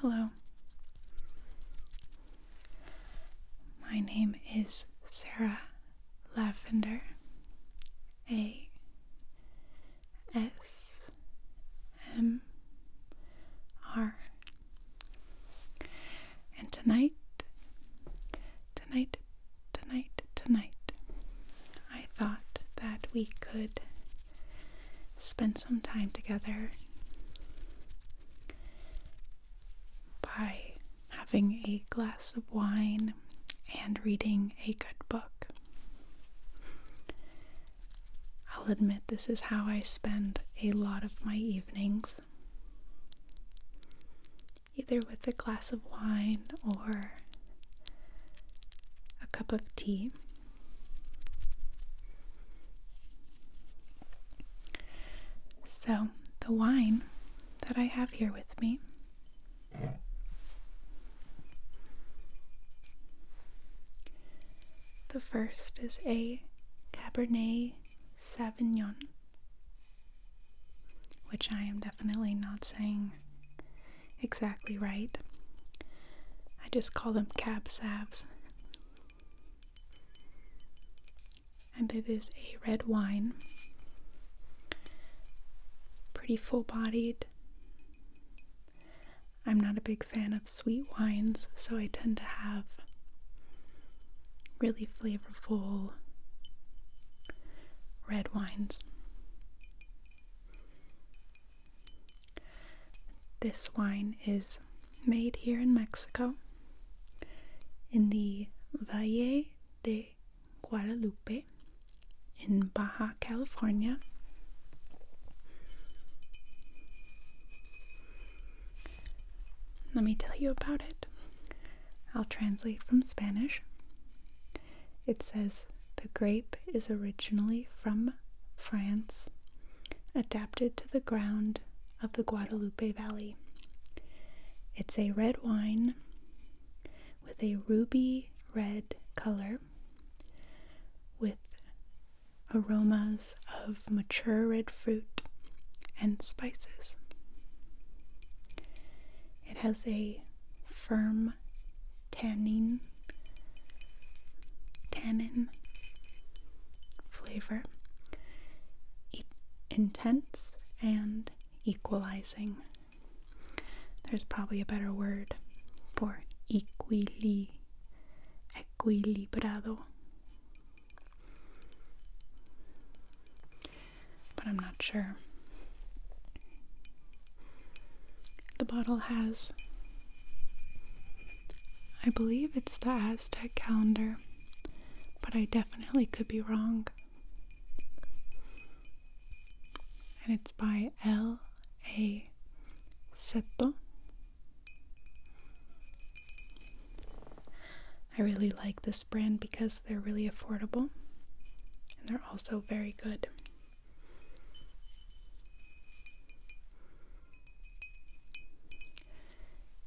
Hello. My name is Sarah Lavender. A S M R. And tonight, tonight, tonight, tonight, I thought that we could spend some time together by having a glass of wine and reading a good book. I'll admit this is how I spend a lot of my evenings. Either with a glass of wine or a cup of tea. So, the wine that I have here with me the first is a Cabernet Sauvignon, which I am definitely not saying exactly right. I just call them cab salves. And it is a red wine. Pretty full bodied. I'm not a big fan of sweet wines, so I tend to have really flavorful red wines. This wine is made here in Mexico in the Valle de Guadalupe in Baja California. Let me tell you about it. I'll translate from Spanish. It says the grape is originally from France, adapted to the ground of the Guadalupe Valley. It's a red wine with a ruby red color with aromas of mature red fruit and spices. It has a firm tannin, tannin flavor, e intense and equalizing. There's probably a better word for equili equilibrado. But I'm not sure. The bottle has I believe it's the Aztec calendar, but I definitely could be wrong. And it's by L. A. Seto. I really like this brand because they're really affordable and they're also very good.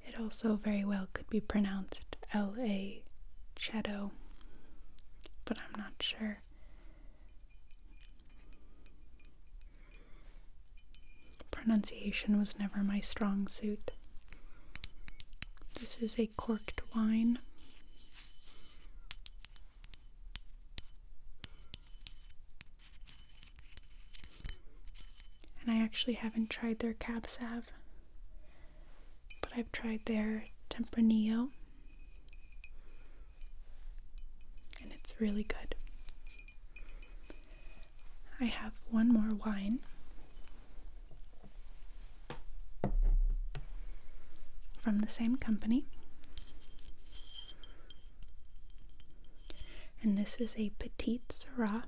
It also very well could be pronounced LA Cheto, but I'm not sure. Pronunciation was never my strong suit. This is a corked wine. And I actually haven't tried their Cab Sav, but I've tried their Tempranillo, and it's really good. I have one more wine. From the same company. And this is a Petite Syrah.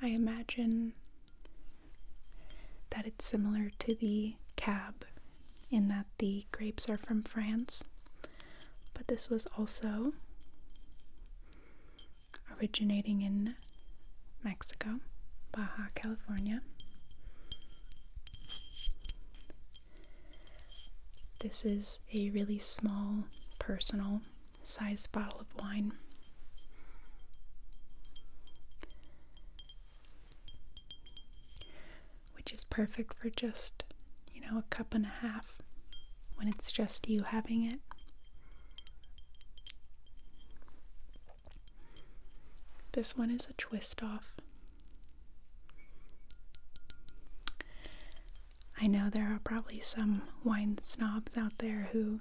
I imagine that it's similar to the Cab in that the grapes are from France, but this was also originating in Mexico, Baja California. This is a really small, personal sized bottle of wine. Which is perfect for just, you know, a cup and a half when it's just you having it. This one is a twist off. I know there are probably some wine snobs out there who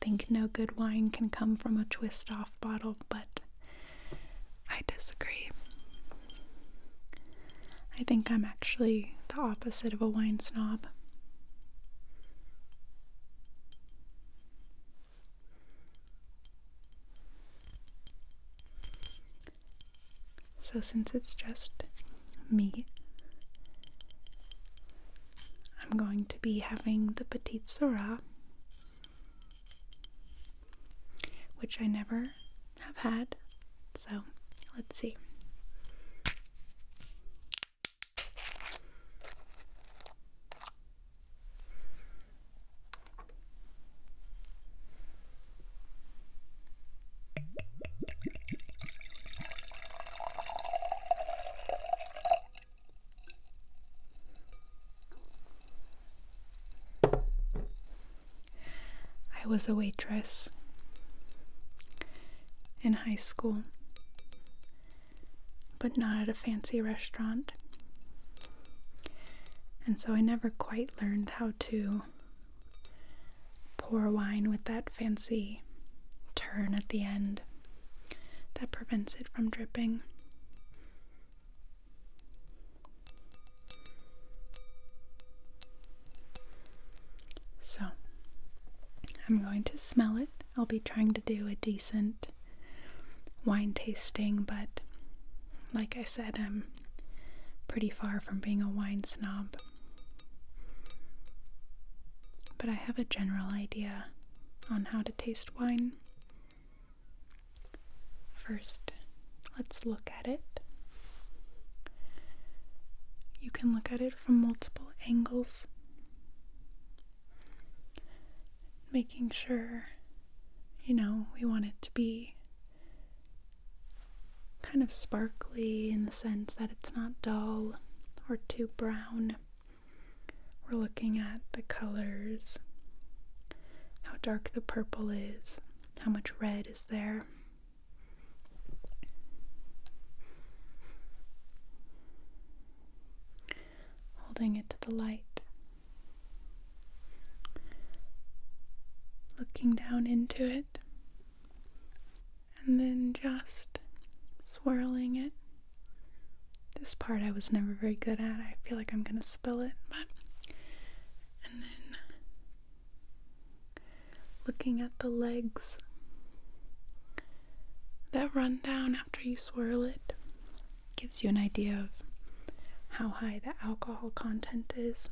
think no good wine can come from a twist off bottle, but I disagree. I think I'm actually the opposite of a wine snob. So, since it's just me, I'm going to be having the Petite Syrah, which I never have had. So, let's see. I was a waitress in high school, but not at a fancy restaurant. And so I never quite learned how to pour wine with that fancy turn at the end that prevents it from dripping. So, I'm going to smell it. I'll be trying to do a decent wine tasting, but like I said, I'm pretty far from being a wine snob. But I have a general idea on how to taste wine. First, let's look at it. You can look at it from multiple angles, making sure, you know, we want it to be kind of sparkly in the sense that it's not dull or too brown. We're looking at the colors, how dark the purple is, how much red is there. Holding it to the light. Looking down into it and then just swirling it. This part I was never very good at. I feel like I'm going to spill it, but. And then looking at the legs that run down after you swirl it gives you an idea of how high the alcohol content is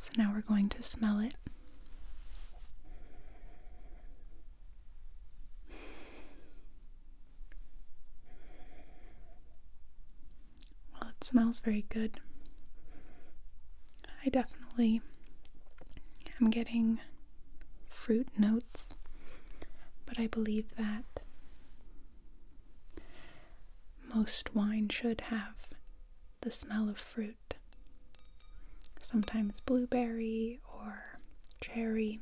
so now we're going to smell it. Well, it smells very good. I definitely am getting fruit notes, but I believe that most wine should have the smell of fruit. Sometimes blueberry or cherry.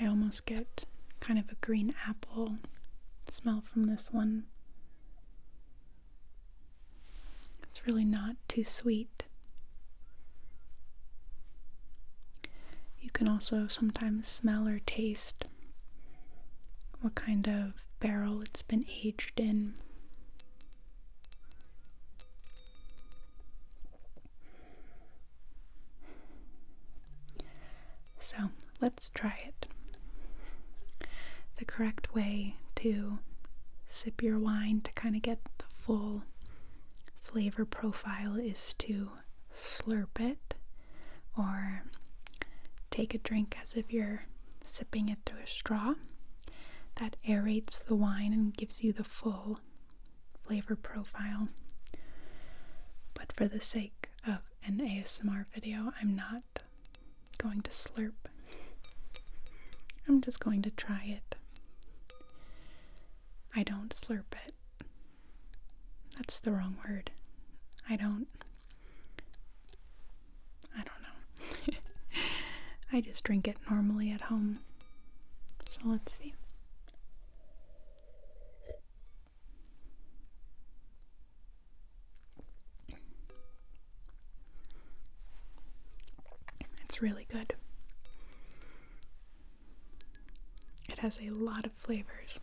I almost get kind of a green apple smell from this one. It's really not too sweet. You can also sometimes smell or taste what kind of barrel it's been aged in. So let's try it. The correct way to sip your wine to kind of get the full flavor profile is to slurp it or take a drink as if you're sipping it through a straw. That aerates the wine and gives you the full flavor profile. But for the sake of an ASMR video, I'm not going to slurp. I'm just going to try it. I don't slurp it. That's the wrong word. I don't. I don't know. I just drink it normally at home. So let's see. It's really good. It has a lot of flavors.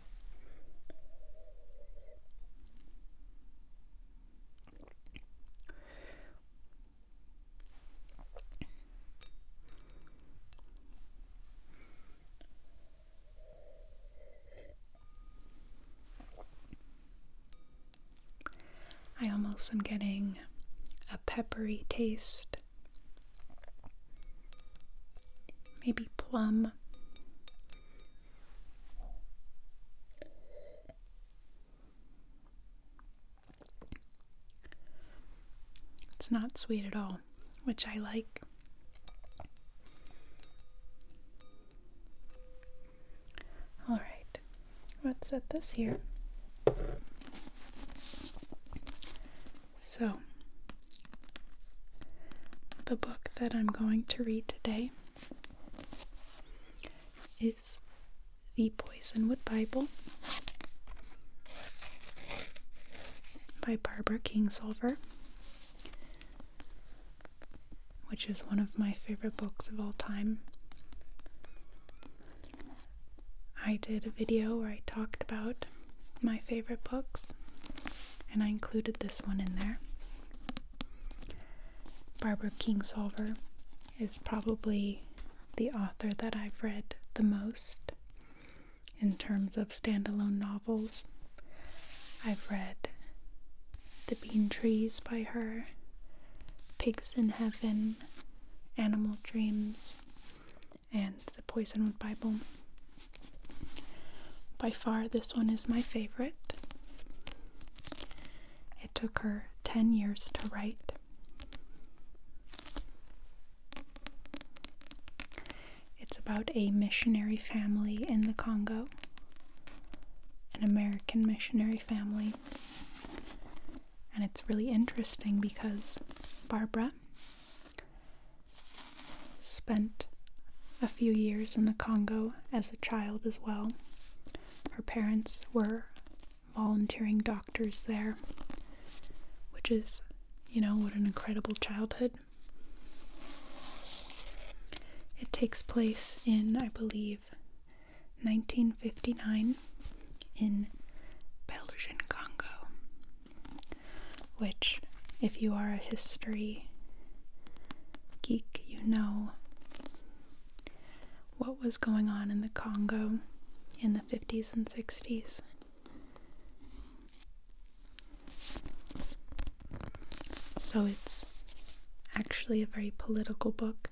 I almost am getting a peppery taste, maybe plum. It's not sweet at all, which I like. All right, let's set this here. So, the book that I'm going to read today is The Poisonwood Bible by Barbara Kingsolver which is one of my favorite books of all time. I did a video where I talked about my favorite books, and I included this one in there. Barbara Kingsolver is probably the author that I've read the most in terms of standalone novels. I've read The Bean Trees by her, Pigs in Heaven, Animal Dreams, and The Poisonwood Bible. By far, this one is my favorite. It took her 10 years to write. It's about a missionary family in the Congo, an American missionary family. And it's really interesting because Barbara spent a few years in the Congo as a child as well. Her parents were volunteering doctors there, which is, you know, what an incredible childhood. It takes place in, I believe, 1959 in Belgian Congo, which, if you are a history geek, you know what was going on in the Congo in the 50s and 60s. So it's actually a very political book.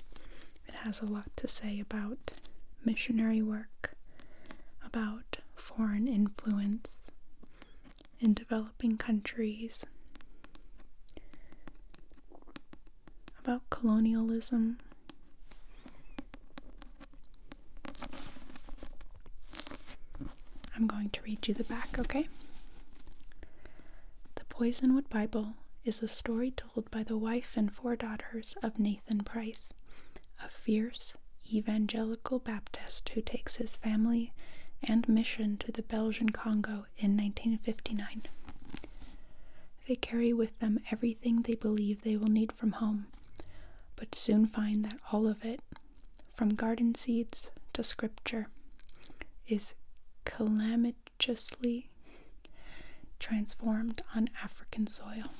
It has a lot to say about missionary work, about foreign influence in developing countries, about colonialism. I'm going to read you the back, okay? The Poisonwood Bible is a story told by the wife and four daughters of Nathan Price, a fierce evangelical Baptist who takes his family and mission to the Belgian Congo in 1959. They carry with them everything they believe they will need from home, but soon find that all of it from garden seeds to scripture, is calamitously transformed on African soil.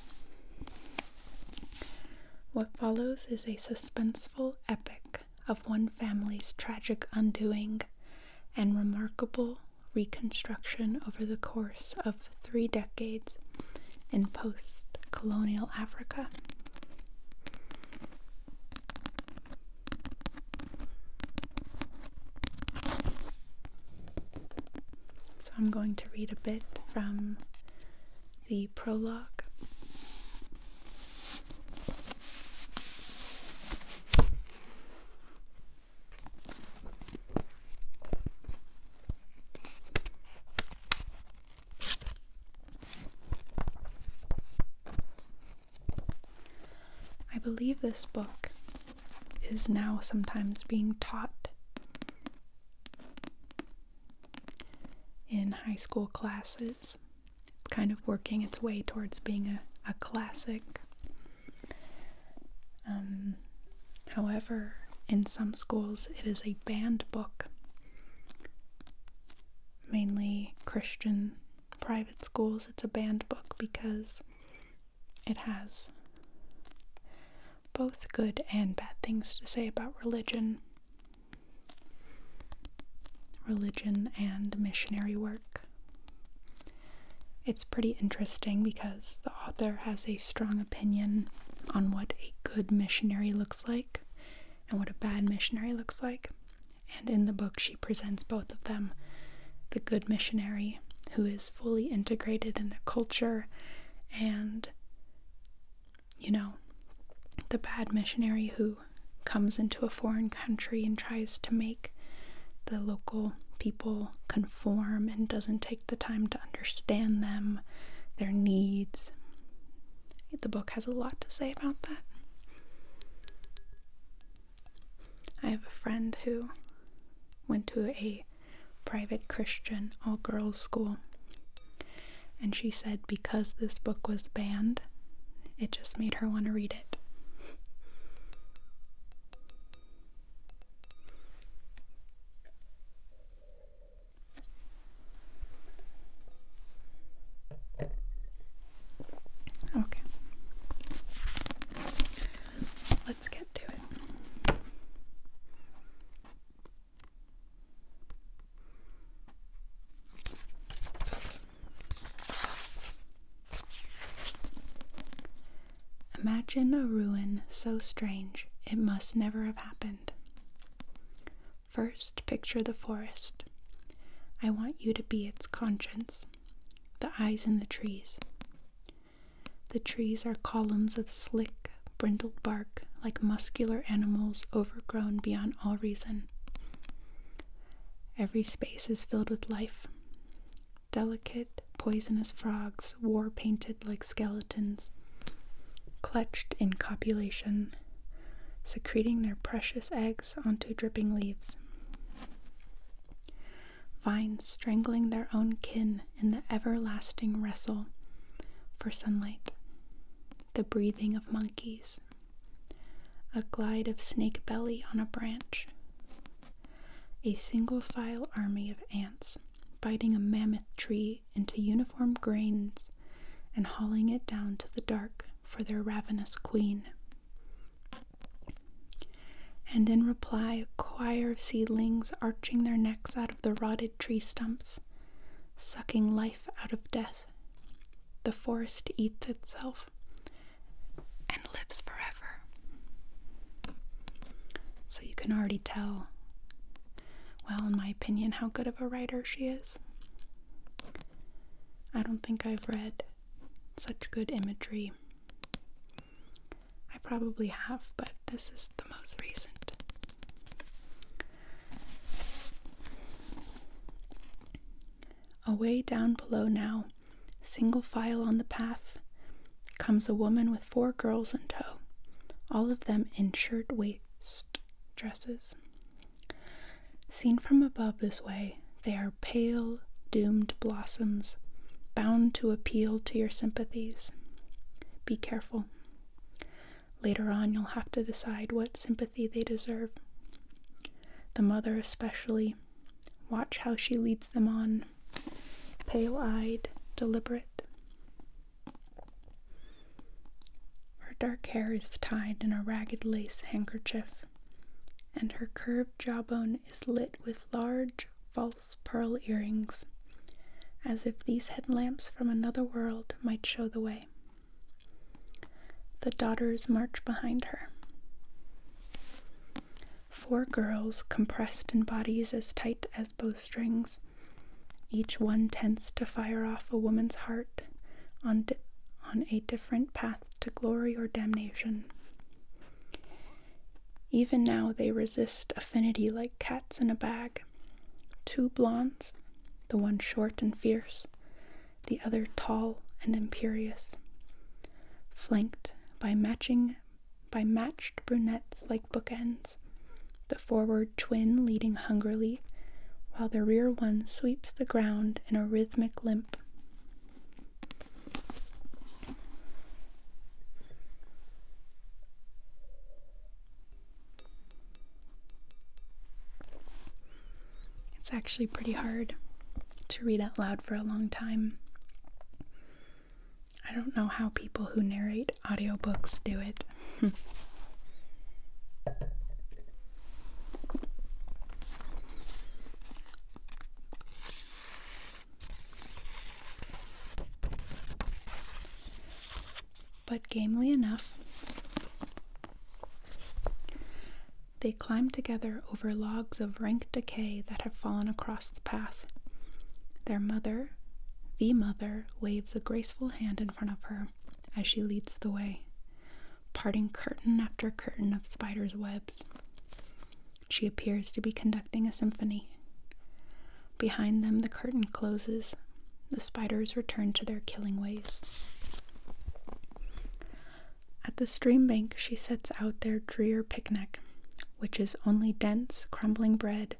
What follows is a suspenseful epic of one family's tragic undoing and remarkable reconstruction over the course of three decades in post colonial Africa. So I'm going to read a bit from the prologue. I believe this book is now sometimes being taught in high school classes. kind of working its way towards being a, a classic. Um, however, in some schools, it is a banned book mainly Christian private schools. It's a banned book because it has both good and bad things to say about religion, religion and missionary work. It's pretty interesting because the author has a strong opinion on what a good missionary looks like and what a bad missionary looks like. And in the book, she presents both of them the good missionary who is fully integrated in the culture and, you know, the bad missionary who comes into a foreign country and tries to make the local people conform and doesn't take the time to understand them, their needs, the book has a lot to say about that. I have a friend who went to a private Christian all girls school, and she said because this book was banned, it just made her want to read it. Okay. Let's get to it. Imagine a ruin so strange it must never have happened. First, picture the forest. I want you to be its conscience, the eyes in the trees. The trees are columns of slick, brindled bark like muscular animals overgrown beyond all reason. Every space is filled with life. Delicate, poisonous frogs, war painted like skeletons, clutched in copulation, secreting their precious eggs onto dripping leaves. Vines strangling their own kin in the everlasting wrestle for sunlight. The breathing of monkeys. A glide of snake belly on a branch. A single file army of ants biting a mammoth tree into uniform grains and hauling it down to the dark for their ravenous queen. And in reply, a choir of seedlings arching their necks out of the rotted tree stumps, sucking life out of death. The forest eats itself and lives forever. So you can already tell, well, in my opinion, how good of a writer she is. I don't think I've read such good imagery. I probably have, but this is the most recent. Away down below now, single file on the path, comes a woman with four girls in tow, all of them in shirtwaist dresses. Seen from above this way, they are pale, doomed blossoms, bound to appeal to your sympathies. Be careful. Later on, you'll have to decide what sympathy they deserve. The mother, especially. Watch how she leads them on, pale eyed, deliberate. Her dark hair is tied in a ragged lace handkerchief, and her curved jawbone is lit with large, false pearl earrings, as if these headlamps from another world might show the way. The daughters march behind her. Four girls, compressed in bodies as tight as bowstrings, each one tense to fire off a woman's heart on, on a different path to glory or damnation. Even now they resist affinity like cats in a bag. Two blondes, the one short and fierce, the other tall and imperious, flanked by matching by matched brunettes like bookends, the forward twin leading hungrily, while the rear one sweeps the ground in a rhythmic limp. It's actually pretty hard to read out loud for a long time. I don't know how people who narrate audiobooks do it. But gamely enough, they climb together over logs of rank decay that have fallen across the path. Their mother, the mother, waves a graceful hand in front of her as she leads the way parting curtain after curtain of spiders' webs. She appears to be conducting a symphony. Behind them, the curtain closes. The spiders return to their killing ways. At the stream bank, she sets out their drear picnic, which is only dense, crumbling bread,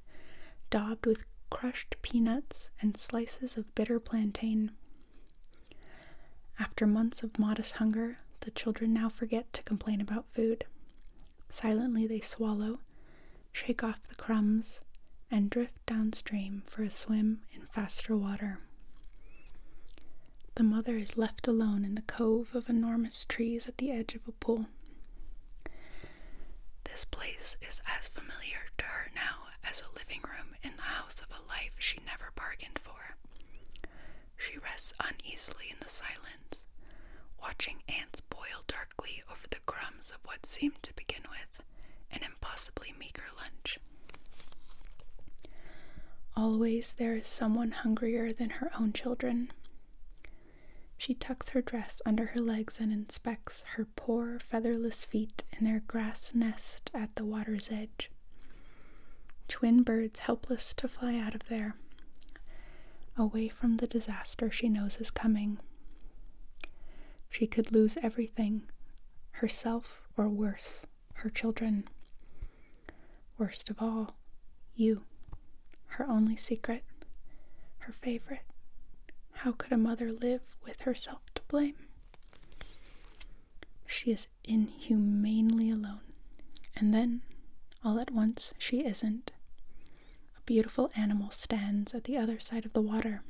daubed with crushed peanuts and slices of bitter plantain, after months of modest hunger, the children now forget to complain about food. Silently they swallow, shake off the crumbs, and drift downstream for a swim in faster water. The mother is left alone in the cove of enormous trees at the edge of a pool. This place is as familiar to her now as a living room in the house of a life she never bargained for. She rests uneasily in the silence, watching ants boil darkly over the crumbs of what seemed to begin with an impossibly meager lunch. Always there is someone hungrier than her own children. She tucks her dress under her legs and inspects her poor featherless feet in their grass nest at the water's edge. Twin birds helpless to fly out of there, away from the disaster she knows is coming. She could lose everything herself, or worse, her children. Worst of all, you, her only secret, her favorite. How could a mother live with herself to blame? She is inhumanely alone. And then, all at once, she isn't. A beautiful animal stands at the other side of the water.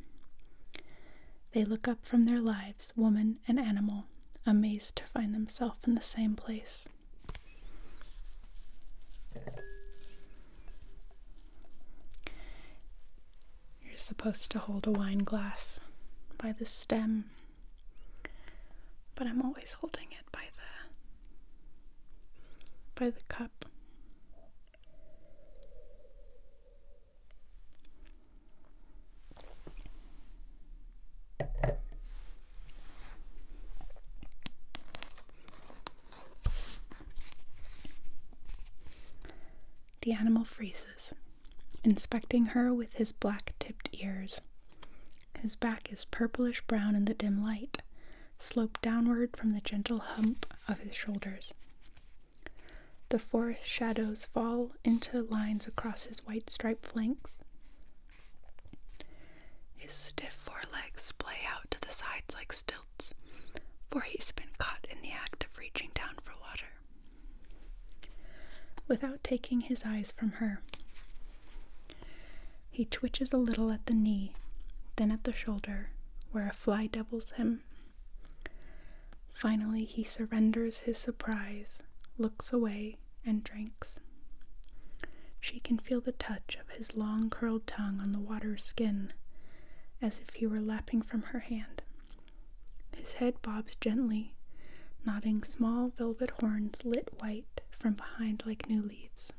They look up from their lives, woman and animal, amazed to find themselves in the same place. You're supposed to hold a wine glass by the stem but I'm always holding it by the by the cup. The animal freezes, inspecting her with his black tipped ears. His back is purplish brown in the dim light, sloped downward from the gentle hump of his shoulders. The forest shadows fall into lines across his white striped flanks. His stiff forelegs splay out to the sides like stilts, for he's been caught in the act of reaching down for water without taking his eyes from her. He twitches a little at the knee, then at the shoulder, where a fly doubles him. Finally, he surrenders his surprise, looks away, and drinks. She can feel the touch of his long curled tongue on the water's skin, as if he were lapping from her hand. His head bobs gently, nodding small velvet horns lit white from behind like new leaves.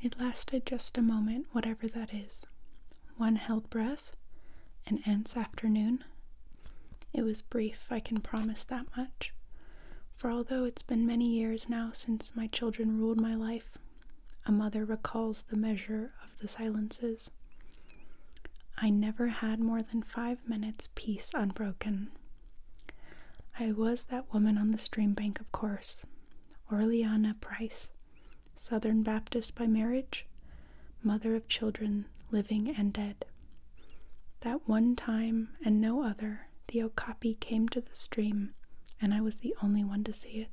It lasted just a moment, whatever that is. One held breath, an aunt's afternoon. It was brief, I can promise that much. For although it's been many years now since my children ruled my life, a mother recalls the measure of the silences. I never had more than five minutes, peace unbroken. I was that woman on the stream bank, of course. Orleana Price, Southern Baptist by marriage, mother of children, living and dead. That one time and no other, the okapi came to the stream, and I was the only one to see it.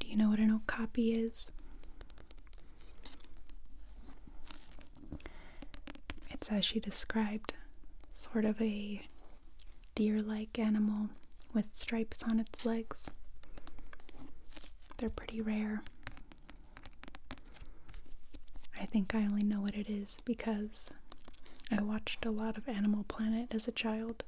Do you know what an okapi is? It's as she described, sort of a deer like animal with stripes on its legs. They're pretty rare. I think I only know what it is because I watched a lot of Animal Planet as a child.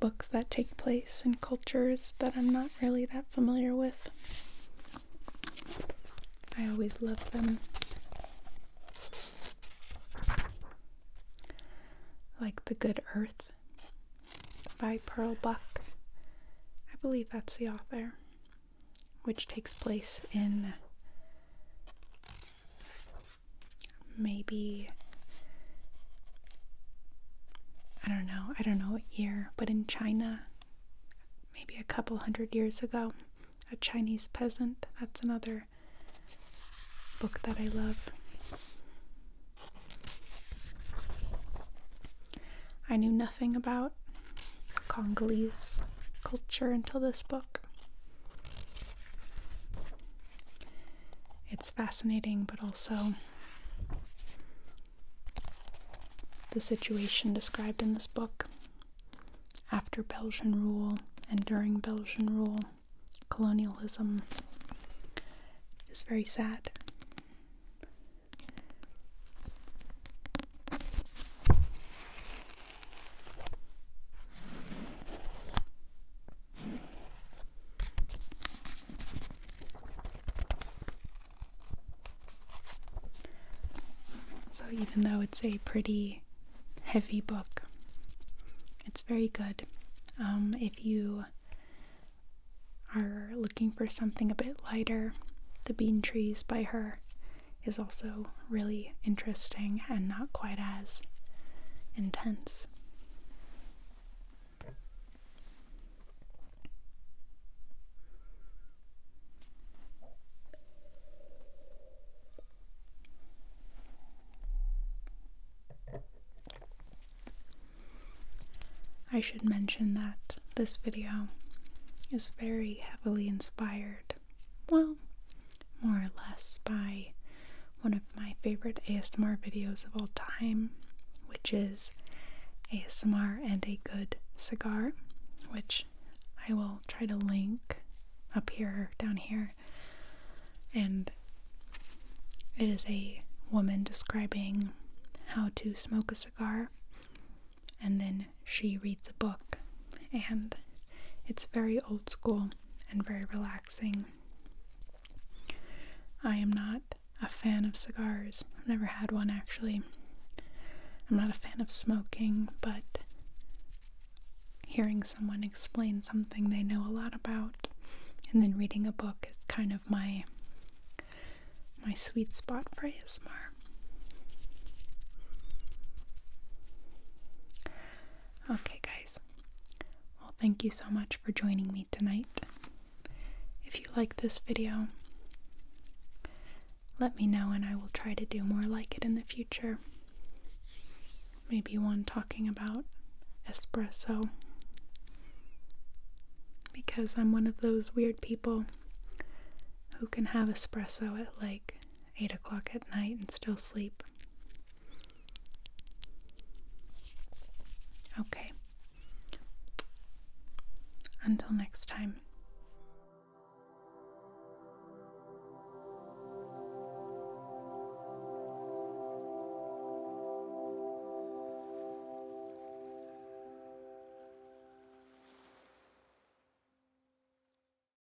Books that take place in cultures that I'm not really that familiar with. I always love them. Like The Good Earth by Pearl Buck. I believe that's the author which takes place in maybe I don't know, I don't know what year, but in China, maybe a couple hundred years ago, a Chinese peasant. That's another book that I love. I knew nothing about Congolese culture until this book. It's fascinating, but also the situation described in this book after Belgian rule and during Belgian rule, colonialism is very sad. So, even though it's a pretty heavy book, it's very good. Um, if you are looking for something a bit lighter, The Bean Trees by her is also really interesting and not quite as intense. I should mention that this video is very heavily inspired well, more or less by one of my favorite ASMR videos of all time, which is ASMR and a Good Cigar, which I will try to link up here, down here. And it is a woman describing how to smoke a cigar and then she reads a book, and it's very old school and very relaxing. I am not a fan of cigars. I've never had one actually. I'm not a fan of smoking, but hearing someone explain something they know a lot about and then reading a book is kind of my my sweet spot for ASMR. Okay, guys. Well, thank you so much for joining me tonight. If you like this video, let me know and I will try to do more like it in the future. Maybe one talking about espresso. Because I'm one of those weird people who can have espresso at like 8 o'clock at night and still sleep. Okay. Until next time.